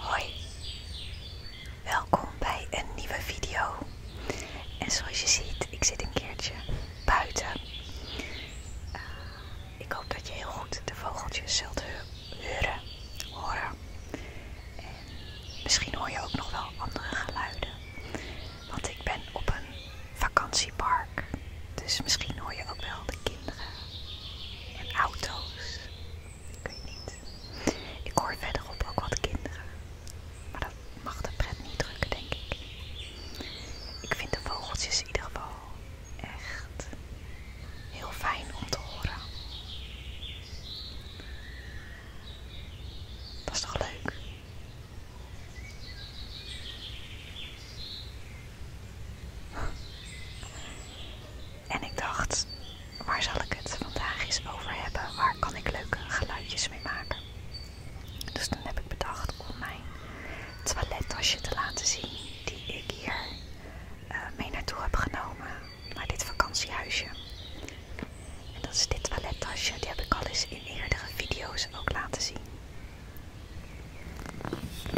Hoi, welkom bij een nieuwe video. En zoals je ziet, ik zit een keertje buiten. Eh, ik hoop dat je heel goed de vogeltjes zult huren horen. En misschien hoor je ook nog wel andere geluiden. Want ik ben op een vakantiepark. Dus misschien hoor je ook wel de kinderen en auto's ik je niet. Ik hoor verderop ook wat kinderen. Maar dat mag de pret niet drukken, denk ik. Ik vind de vogeltjes in ieder geval echt heel fijn om te horen. Dat is toch leuk? En ik dacht, waar zal ik het vandaag eens over hebben? Waar kan ik leuke geluidjes mee maken? Dus dan heb ik bedacht om mijn toilettasje te laten zien die ik hier eh, mee naartoe heb genomen naar dit vakantiehuisje. En dat is dit toilettasje, die heb ik al eens in eerdere video's ook laten zien.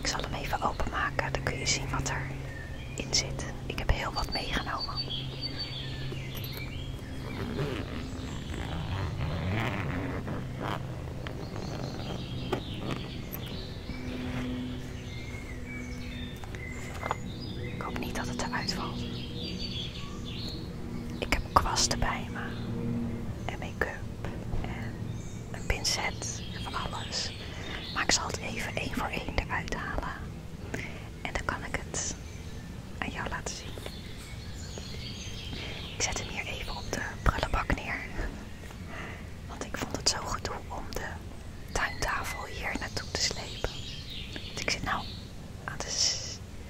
Ik zal hem even openmaken, dan kun je zien wat er in Ik heb heel wat meegenomen. Ik hoop niet dat het eruit valt. Ik heb kwasten bij me. En make-up. En een pincet. En van alles. Maar ik zal het even één voor één eruit halen. En dan kan ik het aan jou laten zien. Ik zet hem hier even op de prullenbak neer. Want ik vond het zo gedoe om de tuintafel hier naartoe te slepen. Want ik zit nou aan de,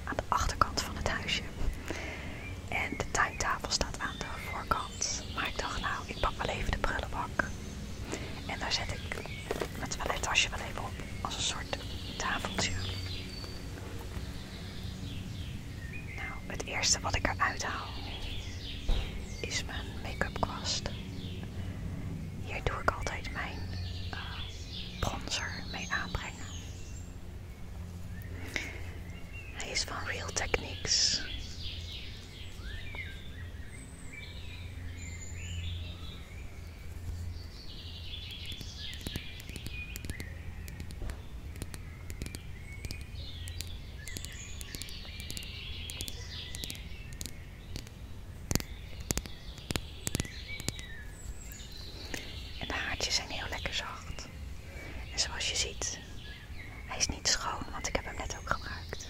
aan de achterkant van het huisje. En de tuintafel staat aan de voorkant. Maar ik dacht nou, ik pak wel even de prullenbak. En daar zet ik mijn toilettasje wel even op, als een soort tafeltje. Nou, het eerste wat ik eruit haal is mijn make-up kwast. Hier doe ik altijd mijn eh, bronzer mee aanbrengen. Hij is van Real Techniques. En de haartjes zijn heel lekker zacht. En zoals je ziet, hij is niet schoon, want ik heb hem net ook gebruikt.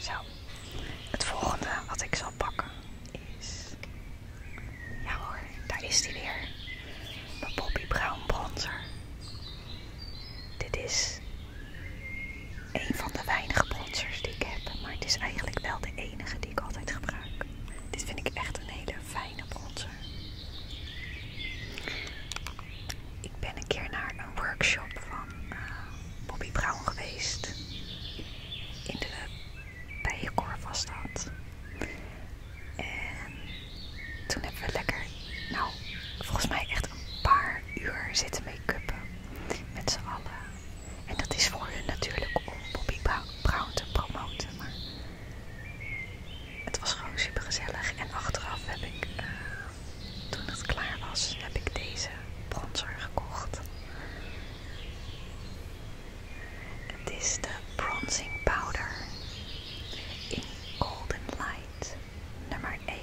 Zo, het volgende wat ik zal pakken is. Ja daar is die weer. de Bobby Brown bronzer. Dit is een van de weinige bronzers die ik heb, maar het is eigenlijk wel de enige die ik altijd gebruik. Dit vind ik echt een hele fijne bronzer. Ik ben een keer naar een workshop van eh, Bobby Brown geweest. In de Bijenkorf was dat. En toen hebben we lekker, nou volgens mij echt een paar uur zitten make-uppen. Met z'n allen. En dat is voor hun natuurlijk om Bobby Brown te promoten. Maar het was gewoon super gezellig. En achteraf heb ik, eh, toen het klaar was, heb ik deze bronzer gekocht. Het is de Bronzing Powder in Golden Light nummer 1.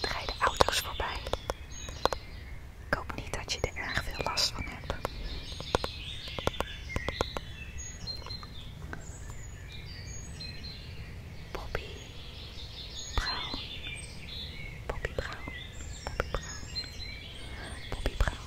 Er rijden auto's voorbij. Ik hoop niet dat je er erg veel last van hebt. Bobby Brown. Bobby Brown. Bobby Brown. Bobby Brown.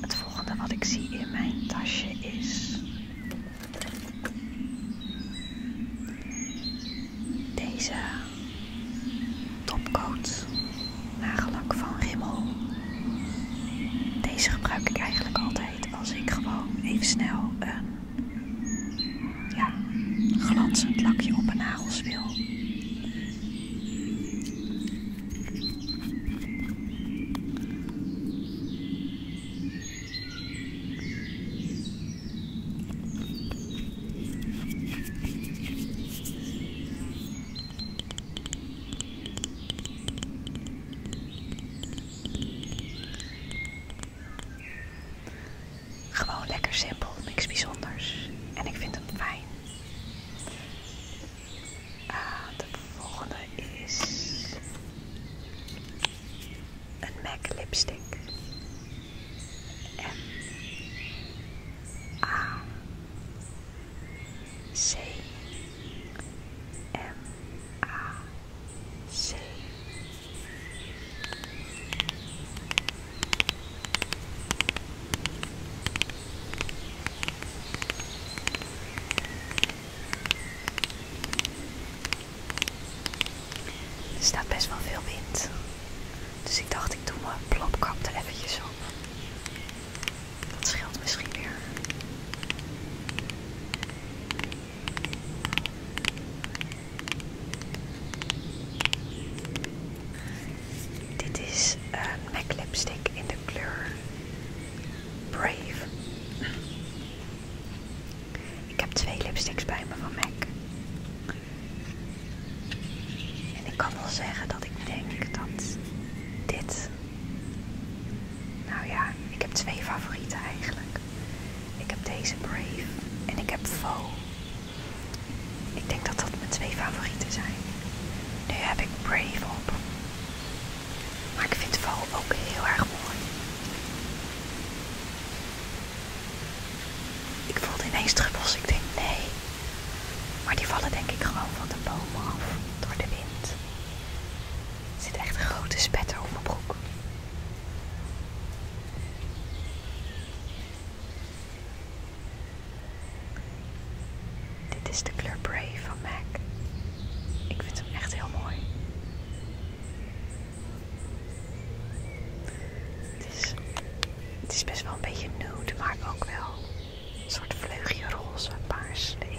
Het volgende wat ik zie in mijn tasje is deze topcoat nagelak van Rimmel. Deze gebruik ik eigenlijk altijd als ik gewoon even snel een ja, glanzend lakje op een nagelswil. Gewoon lekker simpel, niks bijzonders. En ik vind hem fijn. Ah, de volgende is een MAC lipstick. Er staat best wel veel wind. Dus ik dacht ik doe mijn plopkap er eventjes op. Dat scheelt misschien weer. Dit is een MAC lipstick in de kleur Brave. Ik heb twee lipsticks bij me van MAC. En ik kan wel zeggen dat ik denk dat dit... Nou ja, ik heb twee favorieten eigenlijk. Ik heb deze Brave en ik heb Faux. Ik denk dat dat mijn twee favorieten zijn. Nu heb ik Brave op. Maar ik vind Faux ook heel erg mooi. Ik voelde ineens druppels. Ik denk nee. Maar die vallen denk ik gewoon van de bomen af door de wind. Er zit echt een grote spetter op mijn broek. Dit is de kleur Brave van MAC. Ik vind hem echt heel mooi. Het is, best wel een beetje nude, maar ook wel een soort vleugje roze, paars erin.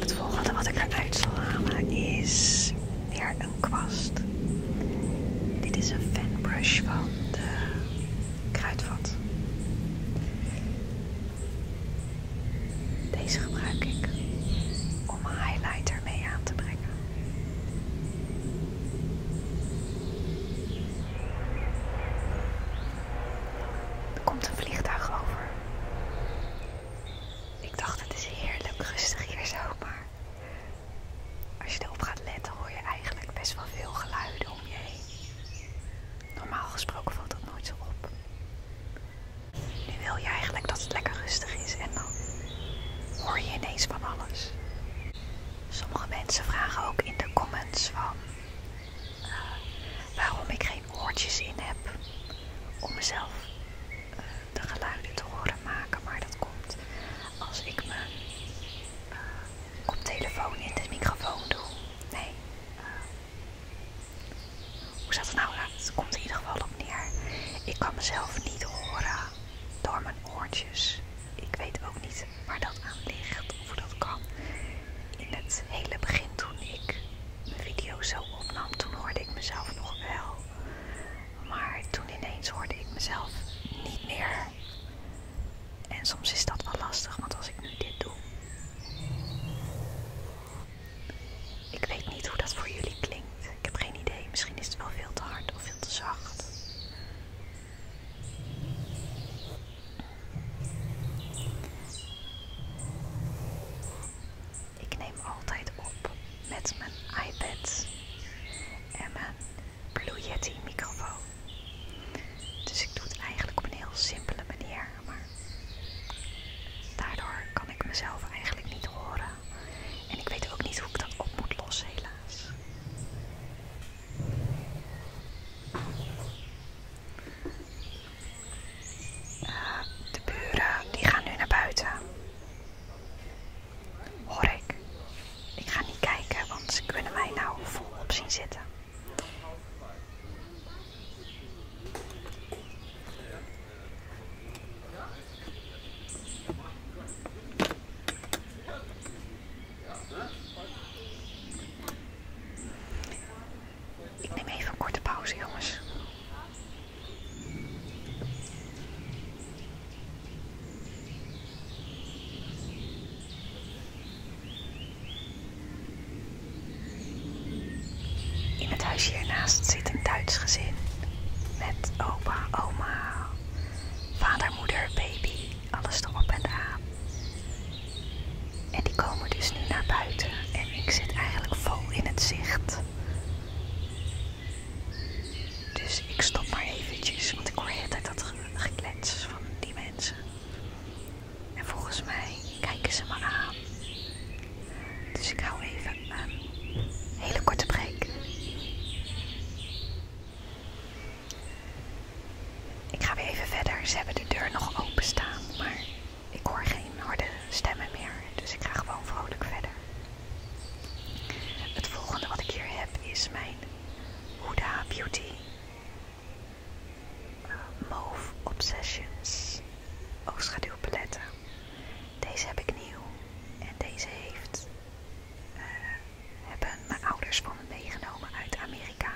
Het volgende wat ik eruit zal halen is weer een kwast. Dit is een brush van de kruidvat. Deze gebruik ik om mijn highlighter mee aan te brengen. Er komt een vliegtuig over. Ik dacht het is heerlijk rustig hier zo, maar als je erop gaat letten hoor je eigenlijk best wel veel geluiden om je heen. Normaal gesproken valt dat nooit zo op. Nu wil je eigenlijk dat het lekker rustig is en dan hoor je ineens van alles. Sommige mensen vragen ook in de comments van eh, waarom ik geen oortjes in heb om mezelf eh, de geluiden te horen maken. Maar dat komt als ik me eh, op telefoon in de microfoon doe. Nee, hoe zat het nou? Het komt in ieder geval op neer. Ik kan mezelf niet horen door mijn oortjes. Ik weet ook niet waar dat aan ligt of hoe dat kan. In het hele begin toen ik mijn video zo opnam, toen hoorde ik mezelf nog wel. Maar toen ineens hoorde ik mezelf niet meer. En soms is dat wel lastig, want als ik nu dit doe, ik weet niet hoe dat voor jullie klinkt. Ik heb geen idee. Misschien is het wel veel te hard of veel te zacht. Ik neem altijd op met mijn iPad en mijn Blue Yeti microfoon. Dus ik doe het eigenlijk op een heel simpele manier. Maar daardoor kan ik mezelf eigenlijk niet horen. En ik weet ook niet hoe ik dat op moet lossen, helaas. Eh, de buren die gaan nu naar buiten. Hoor ik. Ik ga niet kijken, want ze kunnen mij nou op zien zitten. Ik neem even een korte pauze, jongens. In het huisje hiernaast zit een Duits gezin met opa, oma, vader, moeder, baby, alles erop en aan. En die komen dus nu naar buiten en ik zit eigenlijk vol in het zicht. Dus ik stop maar eventjes, want ik hoor de uit dat geklets van die mensen. En volgens mij kijken ze me aan. Dus ik hou even een hele korte break. Ik ga weer even verder. Ze hebben de deur nog openstaan, maar ik hoor geen harde stemmen meer. Dus ik ga gewoon vrolijk verder. Het volgende wat ik hier heb is mijn Huda Beauty Mauve Obsessions oogschaduwpaletten. Deze heb ik nieuw en deze heeft, eh, hebben mijn ouders van me meegenomen uit Amerika.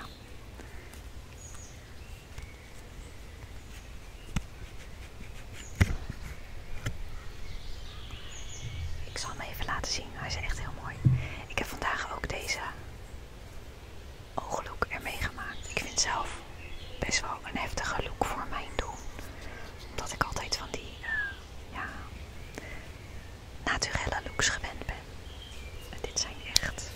Ik zal hem even laten zien, hij is echt heel mooi. Ik heb vandaag ook deze ooglook ermee gemaakt. Ik vind zelf best wel een heftige look voor mijn doen. Omdat ik altijd van die eh, naturelle looks gewend ben. dit zijn echt.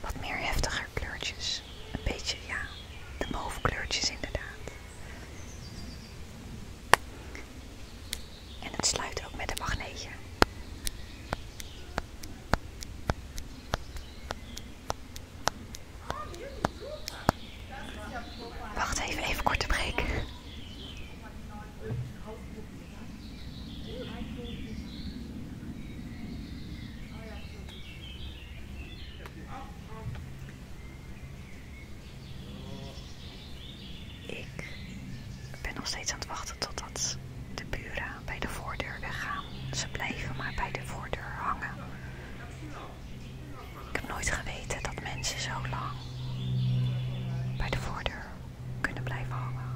Wat meer heftiger kleurtjes. Een beetje, ja, de mauve kleurtjes inderdaad. En het sluit ook met een magneetje. Wacht even, even korte break. Ik ben nog steeds aan het wachten totdat de buren bij de voordeur weggaan. Ze blijven maar bij de voordeur hangen. Ik heb nooit geweten dat mensen zo lang bij de voordeur kunnen blijven hangen.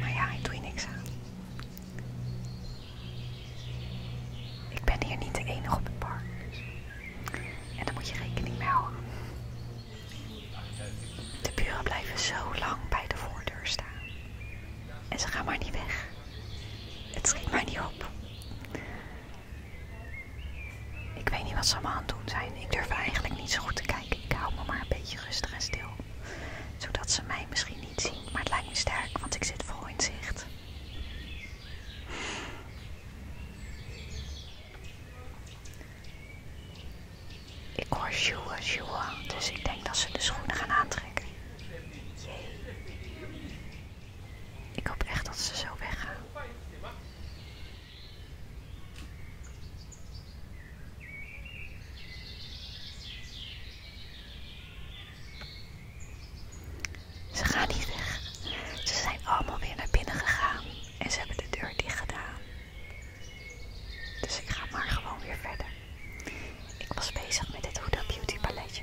Maar ja, ik doe hier niks aan. Ik ben hier niet de enige op het park. En daar moet je rekening mee houden. De buren blijven zo lang bij de voordeur staan. En ze gaan maar niet weg. Het schiet mij niet op. Ik weet niet wat ze allemaal aan het doen zijn. Ik durf eigenlijk niet zo goed te kijken. Ik hou me maar een beetje rustig en stil. Zodat ze mij misschien niet zien. Maar het lijkt me sterk, want ik zit voor in zicht. Ik hoor sjoeën, sjoeën, dus ik denk dat ze de schoenen gaan aantrekken. Ik hoop echt dat ze zo weggaan. Ze gaan niet weg. Ze zijn allemaal weer naar binnen gegaan en ze hebben de deur dicht gedaan. Dus ik ga maar gewoon weer verder. Ik was bezig met dit Huda Beauty paletje.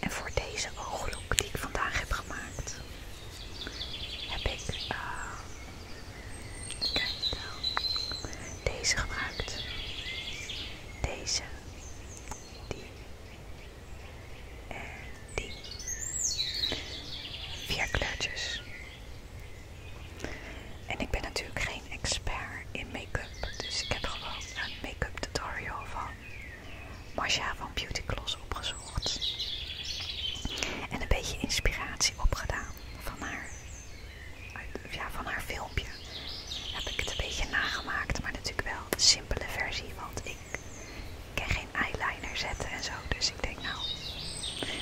En voor deze ooglook die ik vandaag heb gemaakt, heb ik ehm, deze gemaakt. Deze, die en die. Vier kleurtjes. En ik ben natuurlijk geen expert in make-up, dus ik heb gewoon een make-up tutorial van Masha van Beauty Gloss opgezocht. En een beetje inspiratie opgedaan van haar, ja, van haar filmpje. Heb ik het een beetje nagemaakt, maar natuurlijk wel de simpele versie. Want ik kan geen eyeliner zetten en zo. Dus ik denk nou.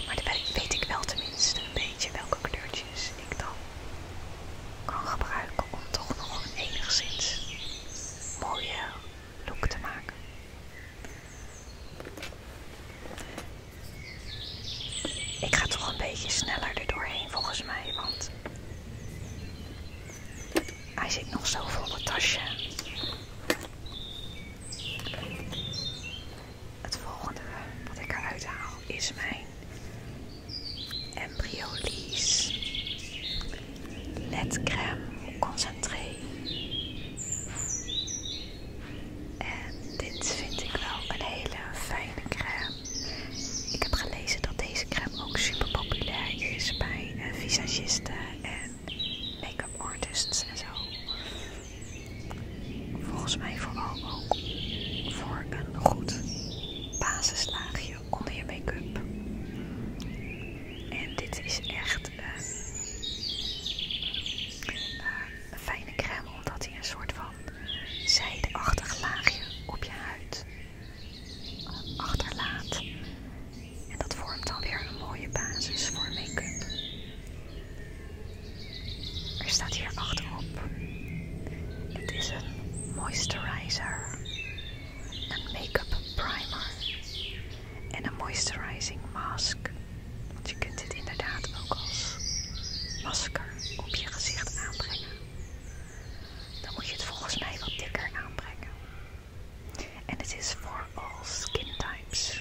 Maar dan weet ik wel tenminste een beetje welke kleurtjes ik dan kan gebruiken om toch nog enigszins mooie look te maken. Ik ga toch een beetje sneller erdoorheen volgens mij, want hij zit nog zo vol het tasje. Het volgende wat ik eruit haal is mijn Lies crème concentré. En dit vind ik wel een hele fijne crème. Ik heb gelezen dat deze crème ook super populair is bij eh, visagisten en make-up artists en zo. Volgens mij vooral ook voor een goed basislaagje onder je make-up. En dit is echt eh, een fijne crème, omdat hij een soort van zijdeachtig laagje op je huid eh, achterlaat. En dat vormt dan weer een mooie basis voor make-up. Er staat hier achterop. Het is een moisturizer een make-up primer en een moisturizing mask. Want je kunt dit inderdaad ook als masker op je gezicht aanbrengen. Dan moet je het volgens mij wat dikker aanbrengen. En het is voor all skin types.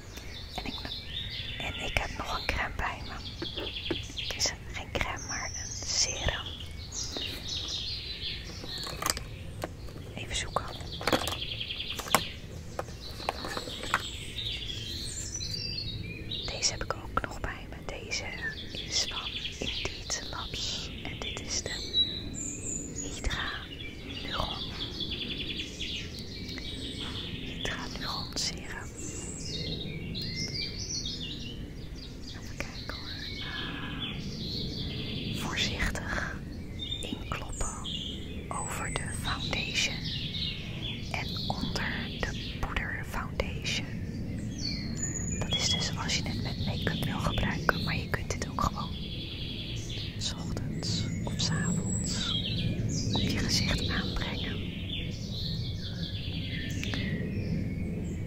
En ik, heb nog een crème bij me. Het is geen crème, maar een serum. Even zoeken. Deze heb ik ook nog bij me. Deze is van Indeed Labs. En dit is de Hydra Neuron. Hydra Neuron Serum. Even kijken hoor. Ehm, voorzichtig inkloppen over de foundation en onder de poeder foundation. Dat is dus als je het met make-up wil gebruiken, maar je kunt dit ook gewoon s ochtends of s avonds op je gezicht aanbrengen.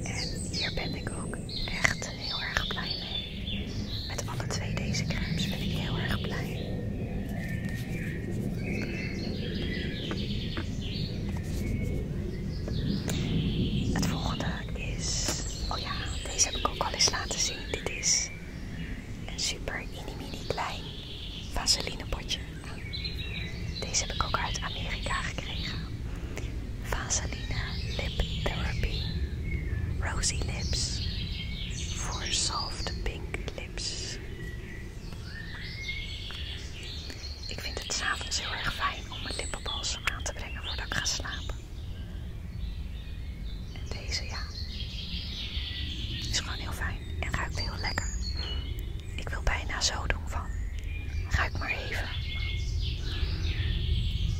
En hier ben ik ook echt heel erg blij mee. Met alle twee deze crèmes ben ik heel erg blij. Het volgende is, oh ja, deze heb ik ook al eens laten zien. Dit is een super inimini klein vaseline potje. Deze heb ik ook uit Amerika gekregen. Vaseline Lip Therapy. Rosy Lips. Voor soft pink lips. Ik vind het s'avonds heel erg fijn om mijn lippenbalsem aan te brengen voordat ik ga slapen. En deze, ja, is gewoon heel fijn en ruikt heel lekker. Ik wil bijna zo doen van. Ruik maar even.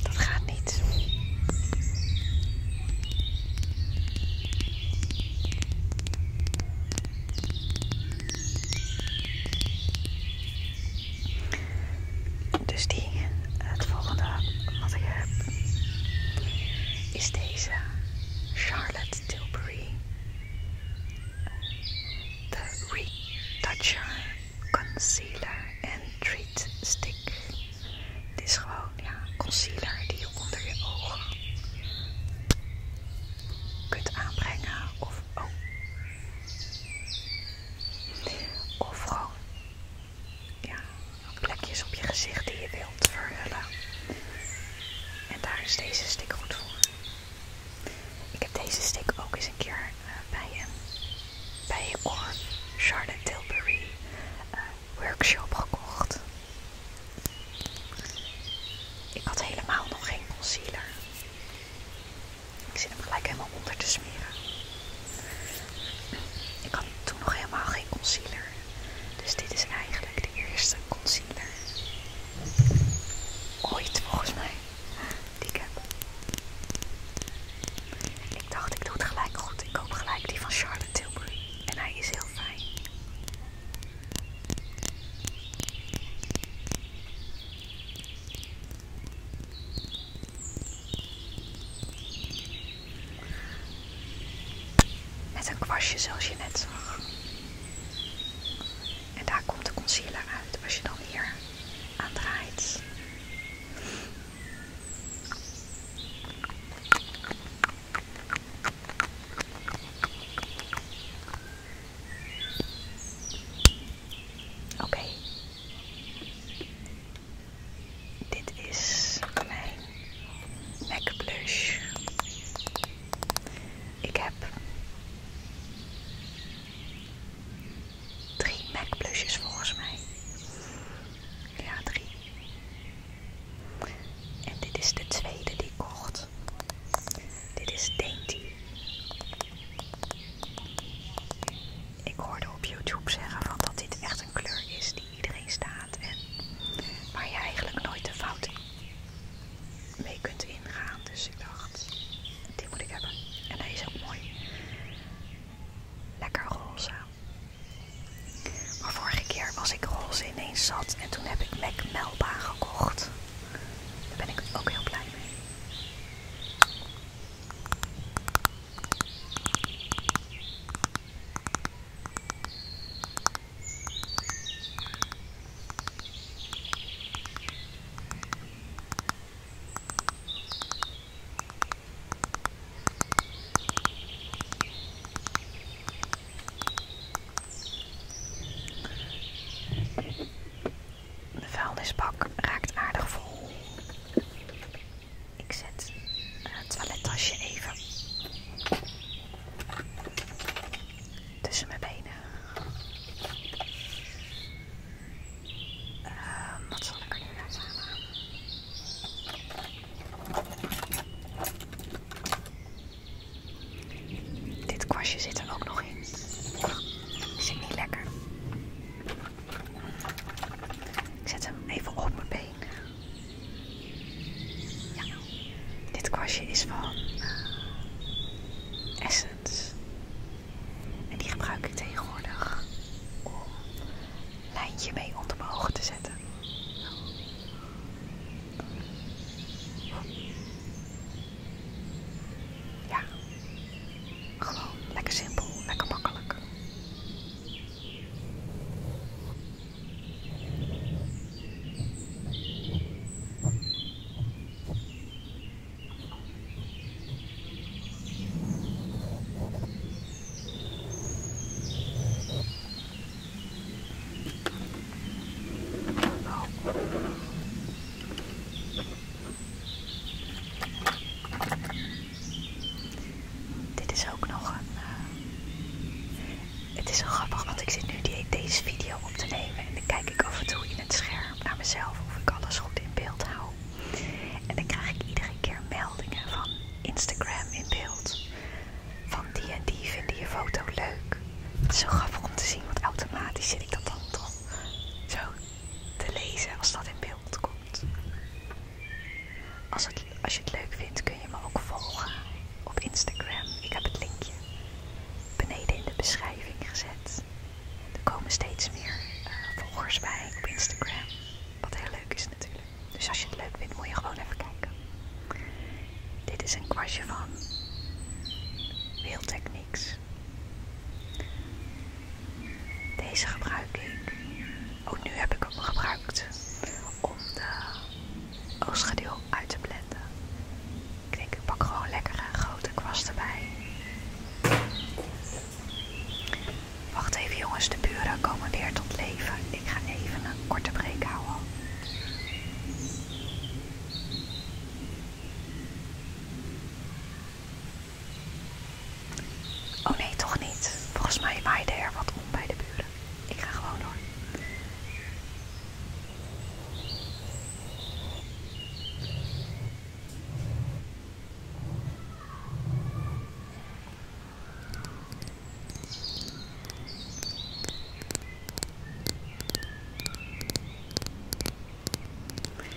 Dat gaat niet. Dus die, het volgende wat ik heb, is deze Charlotte Tilbury de retoucher, concealer en treat stick. Dit is gewoon ja, concealer die je onder je ogen kunt aanbrengen of of gewoon ja, plekjes op je gezicht die je wil verhullen. En daar is deze stick goed voor. Ik heb deze stick ook eens een keer eh, bij een, bij een Charlotte Tilbury eh, workshop gekocht. Ik had helemaal nog geen concealer. Ik zit hem gelijk helemaal onder te smeren. Ik had toen nog helemaal geen concealer. Dus dit is eigenlijk de eerste concealer ooit volgens mij die ik heb. Ik dacht ik doe het gelijk goed. Ik koop gelijk die van Charlotte Tilbury. En hij is heel fijn. Met een kwastje zoals je net zag. En daar komt de concealer uit als je dan hier aan draait. Oké, dit is mijn MAC Blush. Ik heb drie MAC volgens mij. Ja, drie. En dit is de tweede die ik kocht. Dit is Dainty. Ik hoorde op YouTube zeggen van dat dit echt een kleur is die iedereen staat en waar je eigenlijk nooit de fout mee kunt ingaan. Dus ik dacht, die moet ik hebben. En hij is ook mooi. Lekker roze. Maar vorige keer als ik roze ineens zat en toen heb ik Mac Melba gekocht. Daar ben ik ook heel blij mee. De vuilnisbak raakt aardig vol. Ik zet eh, het toilettasje even tussen mijn benen. Ehm, wat zal ik er nu uit halen? Dit kwastje zit er ook nog in. Zit niet lekker. Ik zet hem even op mijn been dit kwastje is van eh, Essence. En die gebruik ik tegenwoordig om een lijntje mee onder mijn ogen te zetten. Ja, gewoon lekker simpel, lekker makkelijk. Dit is ook nog een, eh, het is zo grappig, want ik zit nu deze video op te nemen en dan kijk ik af en toe in het scherm naar mezelf of ik alles goed in beeld hou. En dan krijg ik iedere keer meldingen van Instagram in beeld. Van die en die vinden je foto leuk. Het is zo grappig om te zien, want automatisch zit ik dat dan toch zo te lezen als dat in beeld komt. Als, het, als je het leuk vindt, je me ook volgen op Instagram. Ik heb het linkje beneden in de beschrijving gezet. Er komen steeds meer eh, volgers bij op Instagram. Wat heel leuk is natuurlijk. Dus als je het leuk vindt, moet je gewoon even kijken. Dit is een kwastje van Wheel Techniques. Deze gebruik ik. Ook oh, nu heb ik hem gebruikt om de oogschaduw oh, uit te blenden. Ik denk, ik pak gewoon lekkere grote kwast erbij. Wacht even jongens, de buren komen weer tot leven. Ik ga even een korte break houden. Oh nee, toch niet. Volgens mij waaide er wat om bij de buren. Ik ga gewoon door.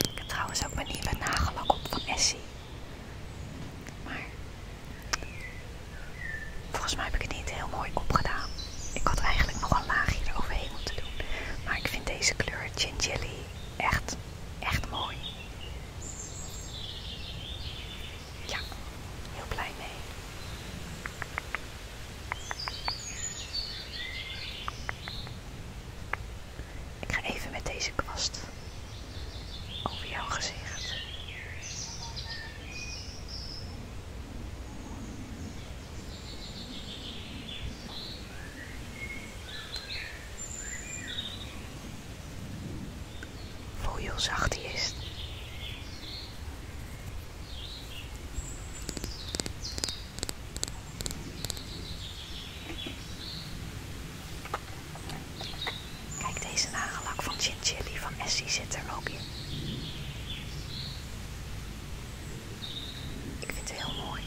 Ik heb trouwens ook mijn nieuwe nagellak op van Essie. Maar Volgens mij heb ik het niet heel mooi opgedaan. Ik had eigenlijk nog een laagje overheen moeten doen. Maar ik vind deze kleur jelly echt, echt mooi. Ja, heel blij mee. Ik ga even met deze kwast over jouw gezicht. Voel je hoe zacht hij is. Kijk, deze nagellak van Chin van Essie zit er ook in. Ik vind het heel mooi.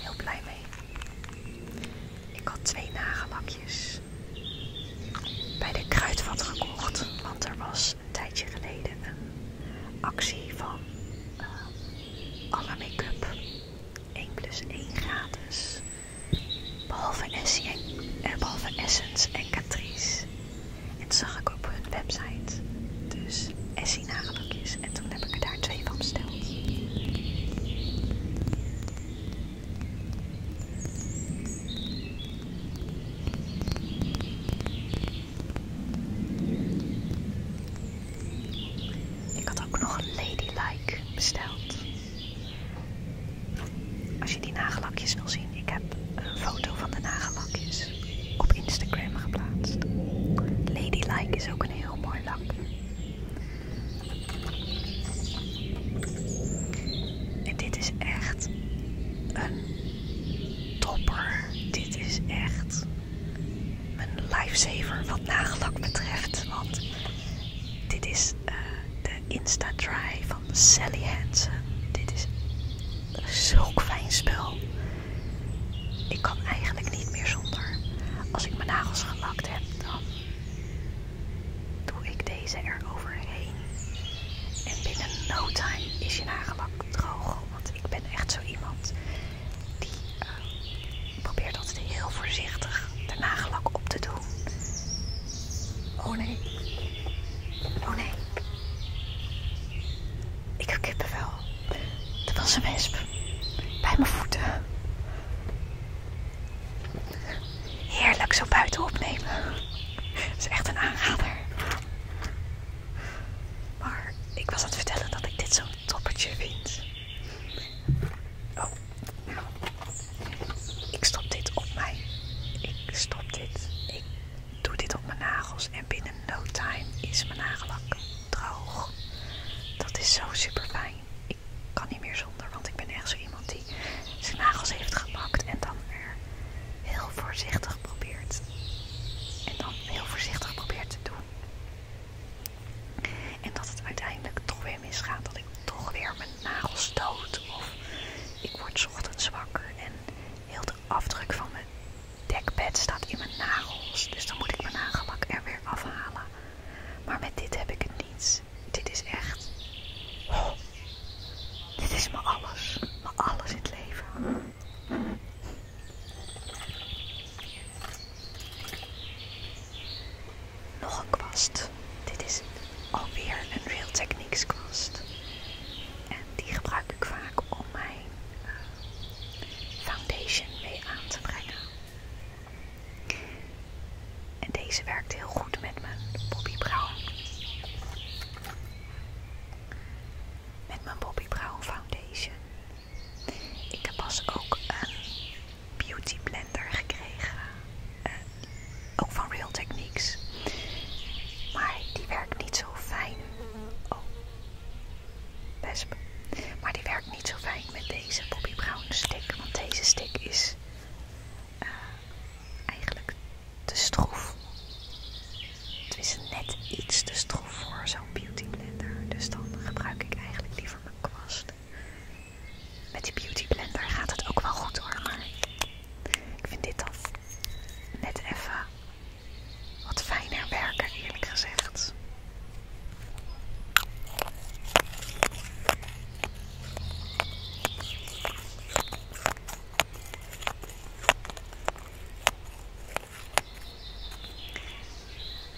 Heel blij mee. Ik had twee nagellakjes bij de kruidvat gekocht, want er was een tijdje geleden een actie van uh, alle make-up 1 plus 1 gratis. Behalve, essent en, Essence en Catrice. En dat zag ik op hun website. Dus Essie nagellakjes. En toen heb ik er daar twee van besteld. Ik had ook nog een Ladylike besteld. Als je die nagellakjes wil zien, ik heb een foto van de nagellakjes op Instagram geplaatst. Ladylike is ook een heel mooi lak. En dit is echt een topper. Dit is echt een lifesaver wat nagellak betreft. Want dit is eh, de insta Dry van Sally Hansen. Dit is zo'n fijn spel. Ik kan eigenlijk niet meer zonder. Als ik mijn nagels gelakt heb, dan doe ik deze er overheen. En binnen no time is je nagelak droog. Want ik ben echt zo iemand die eh, probeert altijd heel voorzichtig de nagellak op te doen. Oh nee. Oh nee. Ik kippen wel. Dat was een wesp. Bij mijn voeten. Heerlijk zo buiten opnemen. Dat is echt een aanrader. Maar ik was aan het vertellen dat ik dit zo'n toppertje vind. Oh. Ik stop dit op mij. Ik stop dit. Ik doe dit op mijn nagels. En binnen no time is mijn nagellak droog. Dat is zo super fijn. Ik kan niet meer zonder, want ik ben echt zo iemand die zijn nagels heeft gepakt en dan er heel voorzichtig probeert. En dan heel voorzichtig probeert te doen. En dat het uiteindelijk toch weer Misgaat Dat ik toch weer mijn nagels stoot. Of ik word ochtends zwakker en heel de afdruk van mijn dekbed staat in mijn nagels. Dus dan moet ik mijn nagelak er weer afhalen. Maar met dit heb ik het niet. Dit is echt... Oh, dit is mijn alles. mijn alles in het leven nog een kwast. Dit is alweer een Real Techniques kwast. En die gebruik ik vaak om mijn eh, foundation mee aan te brengen. En deze werkt heel goed met mijn Bobby Brown. Met mijn Bobby Brown Foundation. Ik heb pas ook een beauty blend daar gekregen. Eh, ook van Real Techniques. Maar die werkt niet zo fijn. Oh, wesp. Maar die werkt niet zo fijn met deze Poppy Brown stick. Want deze stick is eh, eigenlijk te stroef. Het is net iets te stroef voor zo'n beauty blender. Dus dan gebruik ik eigenlijk liever mijn kwast. Met die beauty blender gaat het ook wel goed hoor, maar ik vind dit dan net even wat fijner werken eerlijk gezegd.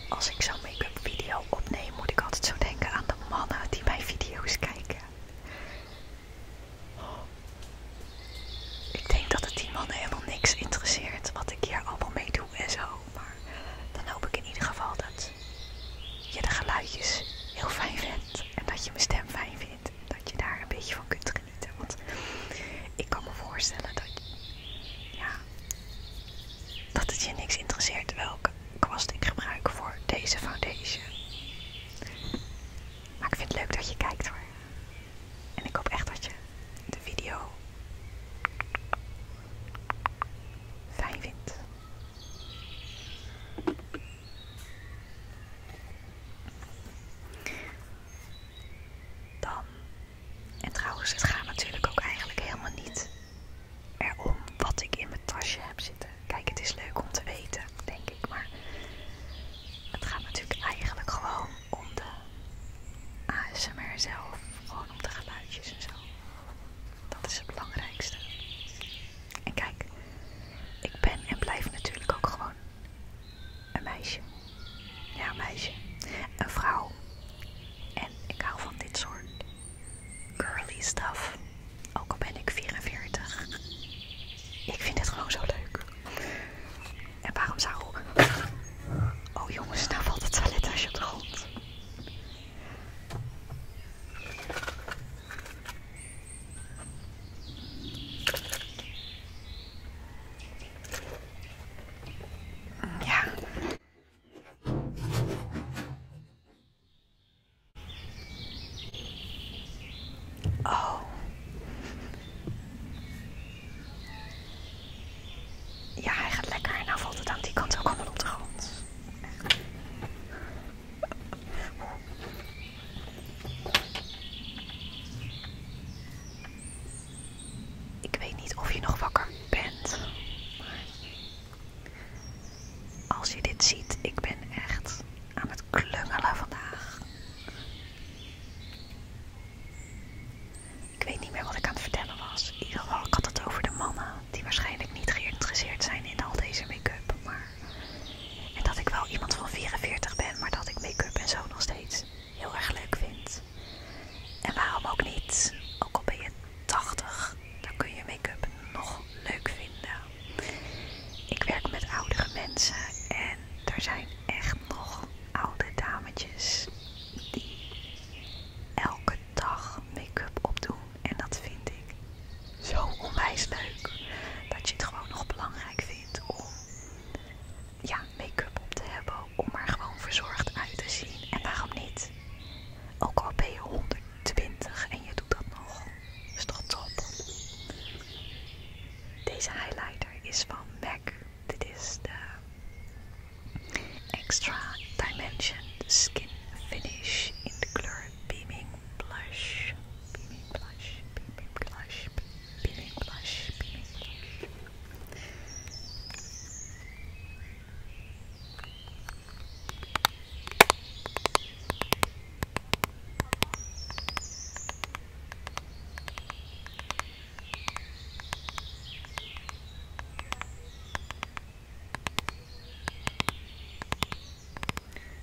Als ik zo'n make-up video opneem, moet ik altijd zo denken aan de mannen die mijn video's kijken. Ik denk dat het die mannen helemaal niks interesseert wat ik hier allemaal mee doe en zo. Maar dan hoop ik in ieder geval dat je de geluidjes heel fijn vindt. En dat je mijn stem fijn vindt. En dat je daar een beetje van kunt genieten. Want ik kan me voorstellen dat, ja, dat het je niks interesseert welke kwast ik gebruik voor deze foundation. Maar ik vind het leuk dat je kijkt hoor. En ik hoop echt dat je de video fijn vindt. Dan, en trouwens, het gaat natuurlijk ook eigenlijk helemaal niet erom wat ik in mijn tasje heb zitten. Kijk, het is leuk om te weten, denk ik, maar het gaat natuurlijk eigenlijk gewoon om de ASMR zelf, gewoon om de geluidjes en zo. Dat is het belangrijkste. En kijk, ik ben en blijf natuurlijk ook gewoon een meisje. Ja, een meisje. Een vrouw. En ik hou van dit soort curly stuff. Ook al ben ik 44. Ik vind het gewoon zo leuk. En waarom zou... Oh jongens, nou valt het toilet toilettasje op de grond. Ja. Oh. Ja, hij gaat lekker. En dan valt het aan die kant ook allemaal op de grond. Ik weet niet of je nog wakker bent. Maar als je dit ziet, ik ben echt aan het klungelen vandaag. Ik weet niet meer wat ik aan het vertellen was. In ieder geval, ik had het over de mannen die waarschijnlijk niet geïnteresseerd zijn in al deze make-up. Maar... En dat ik wel iemand van 44 ben, maar dat ik make-up en zo nog steeds heel erg leuk vind. En waarom ook niet? Ook al ben je 80 dan kun je make-up nog leuk vinden. Ik werk met oudere mensen en er zijn echt nog oude dametjes die elke dag make-up opdoen. En dat vind ik zo onwijs leuk. Dat je het gewoon nog belangrijk vindt om ja, make-up op te hebben. Om er gewoon verzorgd uit te zien. En waarom niet? Ook al ben je 120 en je dat Deze highlighter is van MAC. Dit is de Extra Dimension Skin Finish in de kleur Beaming Blush.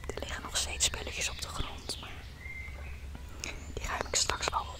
Er liggen nog steeds spulletjes op de grond, maar die ruim ik straks wel op.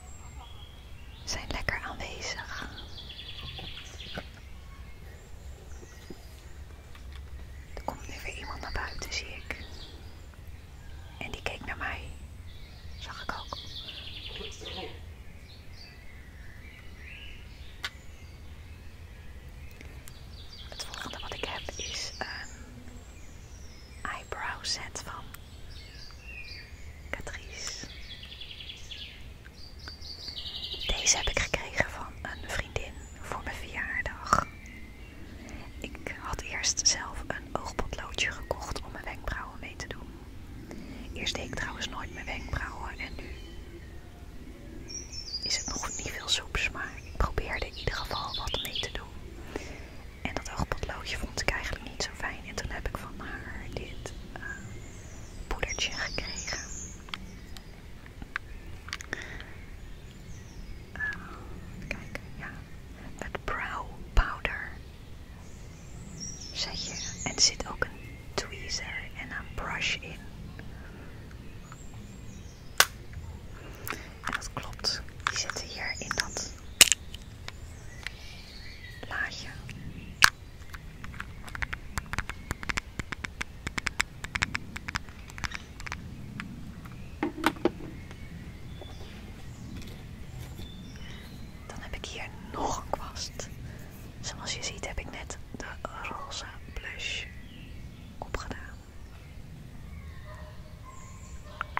zijn lekker aanwezig. Er komt nu weer iemand naar buiten, zie ik. En die keek naar mij. Zag ik ook. Het volgende wat ik heb is een eyebrow set van Catrice. Deze heb ik gekregen van een vriendin voor mijn verjaardag. Ik had eerst zelf een oogpotloodje gekocht om mijn wenkbrauwen mee te doen. Eerst deed ik trouwens nooit mijn wenkbrauwen en nu is het nog niet veel soeps, maar ik probeerde in ieder geval wat mee te doen. En dat oogpotloodje vond ik eigenlijk niet zo fijn. En toen heb ik van haar dit eh, poedertje gekregen. Eh, kijk, ja. Met brow powder. Zet je. En er zit ook een tweezer en een brush in dat klopt, die zitten hier in dat laagje. Dan heb ik hier nog een kwast. Zoals je ziet heb ik net de roze blush opgedaan.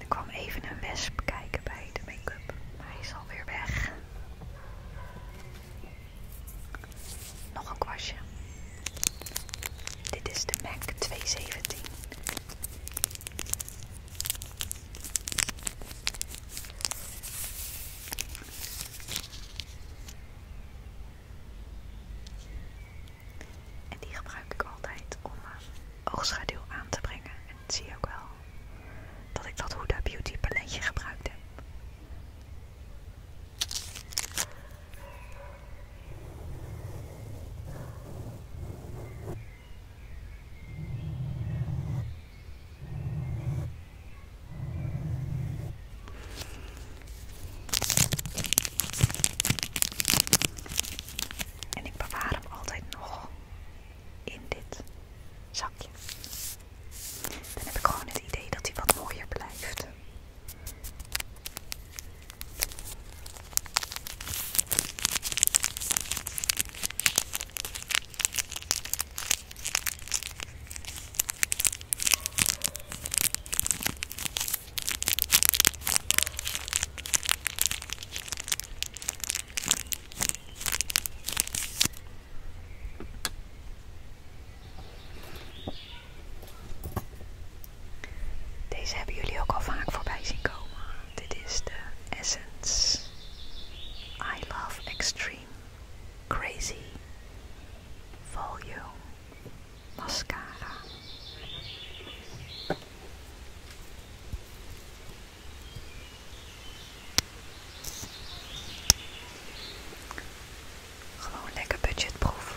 Er kwam even een wesp kijken bij de make-up, hij is alweer weg. Nog een kwastje. Dit is de MAC 217. En die gebruik ik altijd om eh, oogschaduw aan te brengen. En zie je ook wel dat ik dat Huda Beauty paletje gebruikt heb. En ik bewaar hem altijd nog in dit zakje. Dan heb ik gewoon het idee dat hij wat mooier blijft. Deze hebben jullie ook al vaak voorbij zien komen. Dit is de Essence I Love Extreme Crazy Volume Mascara. Gewoon lekker budgetproef.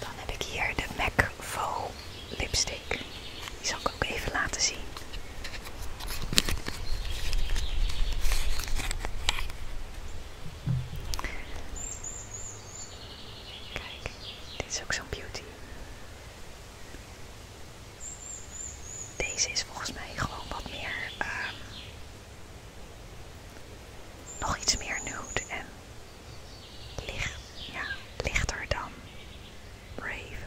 Dan heb ik hier de MAC Vol lipstick. Die zal ik ook even laten zien. Kijk, dit is ook zo'n beauty. Deze is volgens mij gewoon wat meer ehm, nog iets meer nude en lichter dan Brave.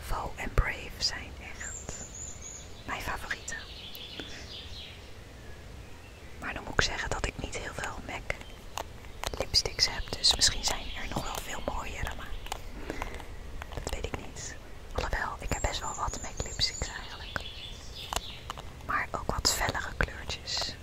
Vo en Brave zijn echt mijn favorieten. Maar dan moet ik zeggen dat ik niet heel veel MAC lipsticks heb, dus misschien zijn er nog wel veel mooiere, maar dat weet ik niet. Alhoewel, ik heb best wel wat met lipsticks eigenlijk. Maar ook wat fellere kleurtjes.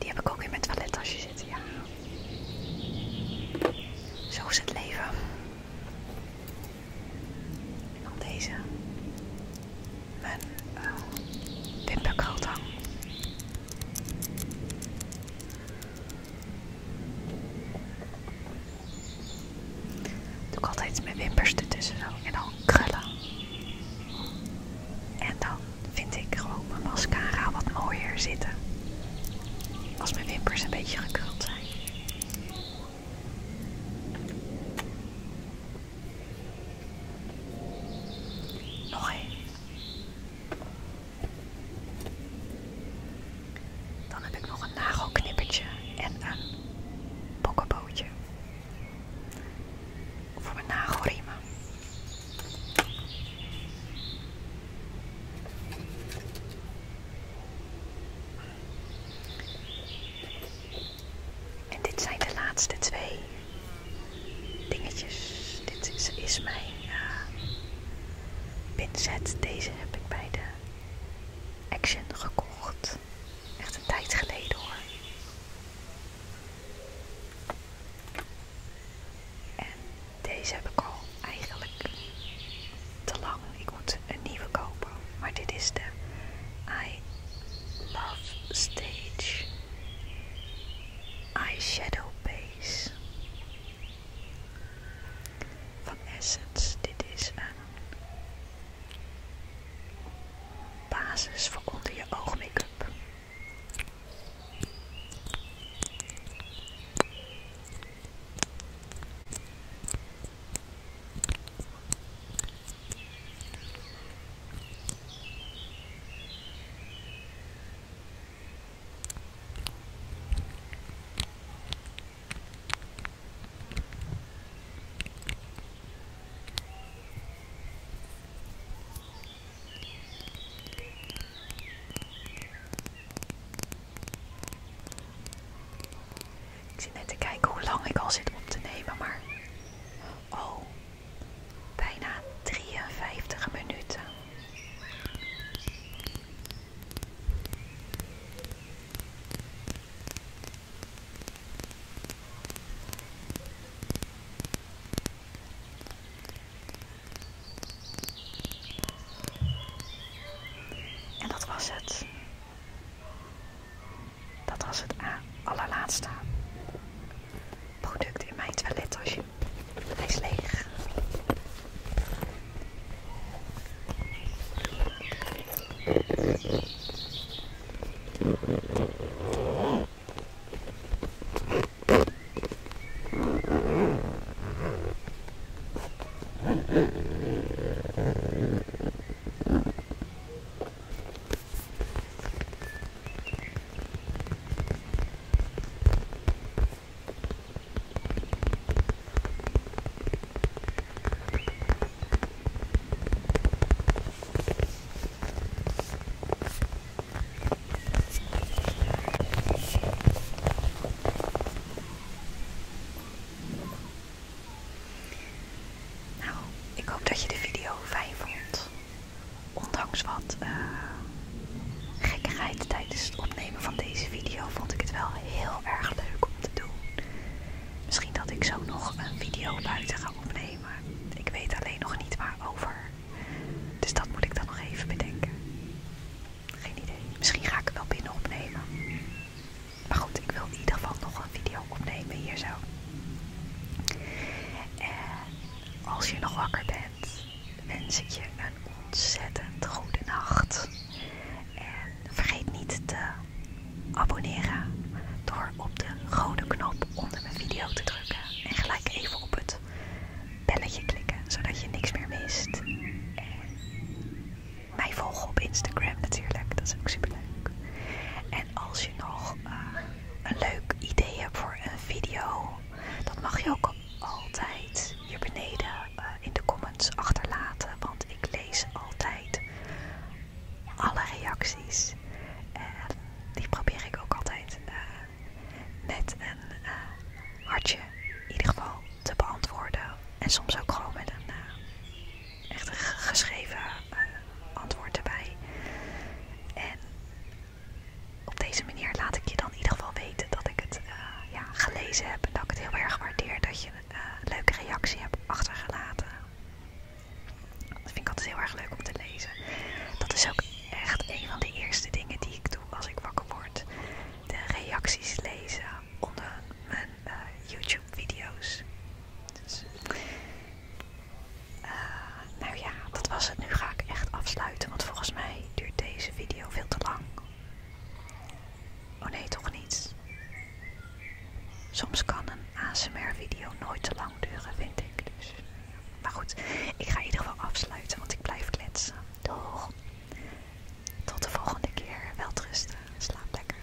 Die heb ik ook in mijn toilettasje zitten, ja. Zo is het leven. En deze mijn uh, wimperkalt Doe ik altijd mijn wimpers ertussen en dan krullen. En dan vind ik gewoon mijn mascara wat mooier zitten. Als mijn wimpers een beetje gekruld zijn. Nog Dan heb ik nog een nagelknippertje en een pokkenbootje voor mijn nagelriemen. En dit zijn de laatste twee dingetjes. Dit is, mijn uh, Deze heb ik bij de Action gekocht. Echt een tijd geleden hoor. En deze heb ik al eigenlijk te lang. Ik moet een nieuwe kopen. Maar dit is de I Love Stage shadow base van Essence. Dit is een basis voor onder je oogmake up ik zit net te kijken hoe lang ik al zit op te nemen, maar... Oh, Bijna 53 minuten. En dat was het. Dat was het allerlaatste product in mijn toilettasje. Hij is leeg. Nou, ik hoop dat je de video fijn vond. Ondanks wat uh, gekkigheid tijdens het opnemen van deze video vond ik het wel heel erg leuk om te doen. Misschien dat ik zo nog een video buiten ga opnemen. Ik weet alleen nog niet waarover. Dus dat moet ik dan nog even bedenken. Geen idee. Misschien ga ik het wel binnen opnemen. Maar goed, ik wil in ieder geval nog een video opnemen hier zo. En als je nog wakker bent, wens ik je een ontzettend goede nacht. En vergeet niet te abonneren door op de rode knop onder mijn video te drukken. En gelijk even op het belletje klikken, zodat je niks meer mist. En mij volgen op Instagram natuurlijk, dat is ook super leuk. En als je nog eh, een leuk idee hebt voor een video, dat mag je ook altijd hier beneden eh, in de comments achterlaten. Want ik lees altijd alle reacties. En die probeer ik ook altijd eh, met een eh, hartje in ieder geval te beantwoorden. En soms ook gewoon met een echt geschreven antwoord erbij. En op deze manier laat ik je dan in ieder geval weten dat ik het eh, gelezen heb. En dat ik het heel erg waardeer dat je eh, een leuke reactie hebt achtergelaten. Dat vind ik altijd heel erg leuk om te lezen. Dat is ook echt een van de eerste dingen die ik doe als ik wakker word. De reacties lezen onder mijn eh, YouTube video's. Dus eh, nou ja, dat was het. Nu ga ik echt afsluiten, want volgens mij duurt deze video veel te lang. Oh nee, toch niet. Soms kan een ASMR-video nooit te lang duren, vind ik. Dus. Maar goed, ik ga in ieder geval afsluiten, want ik blijf kletsen. Doeg! Tot de volgende keer. Welterusten. Slaap lekker.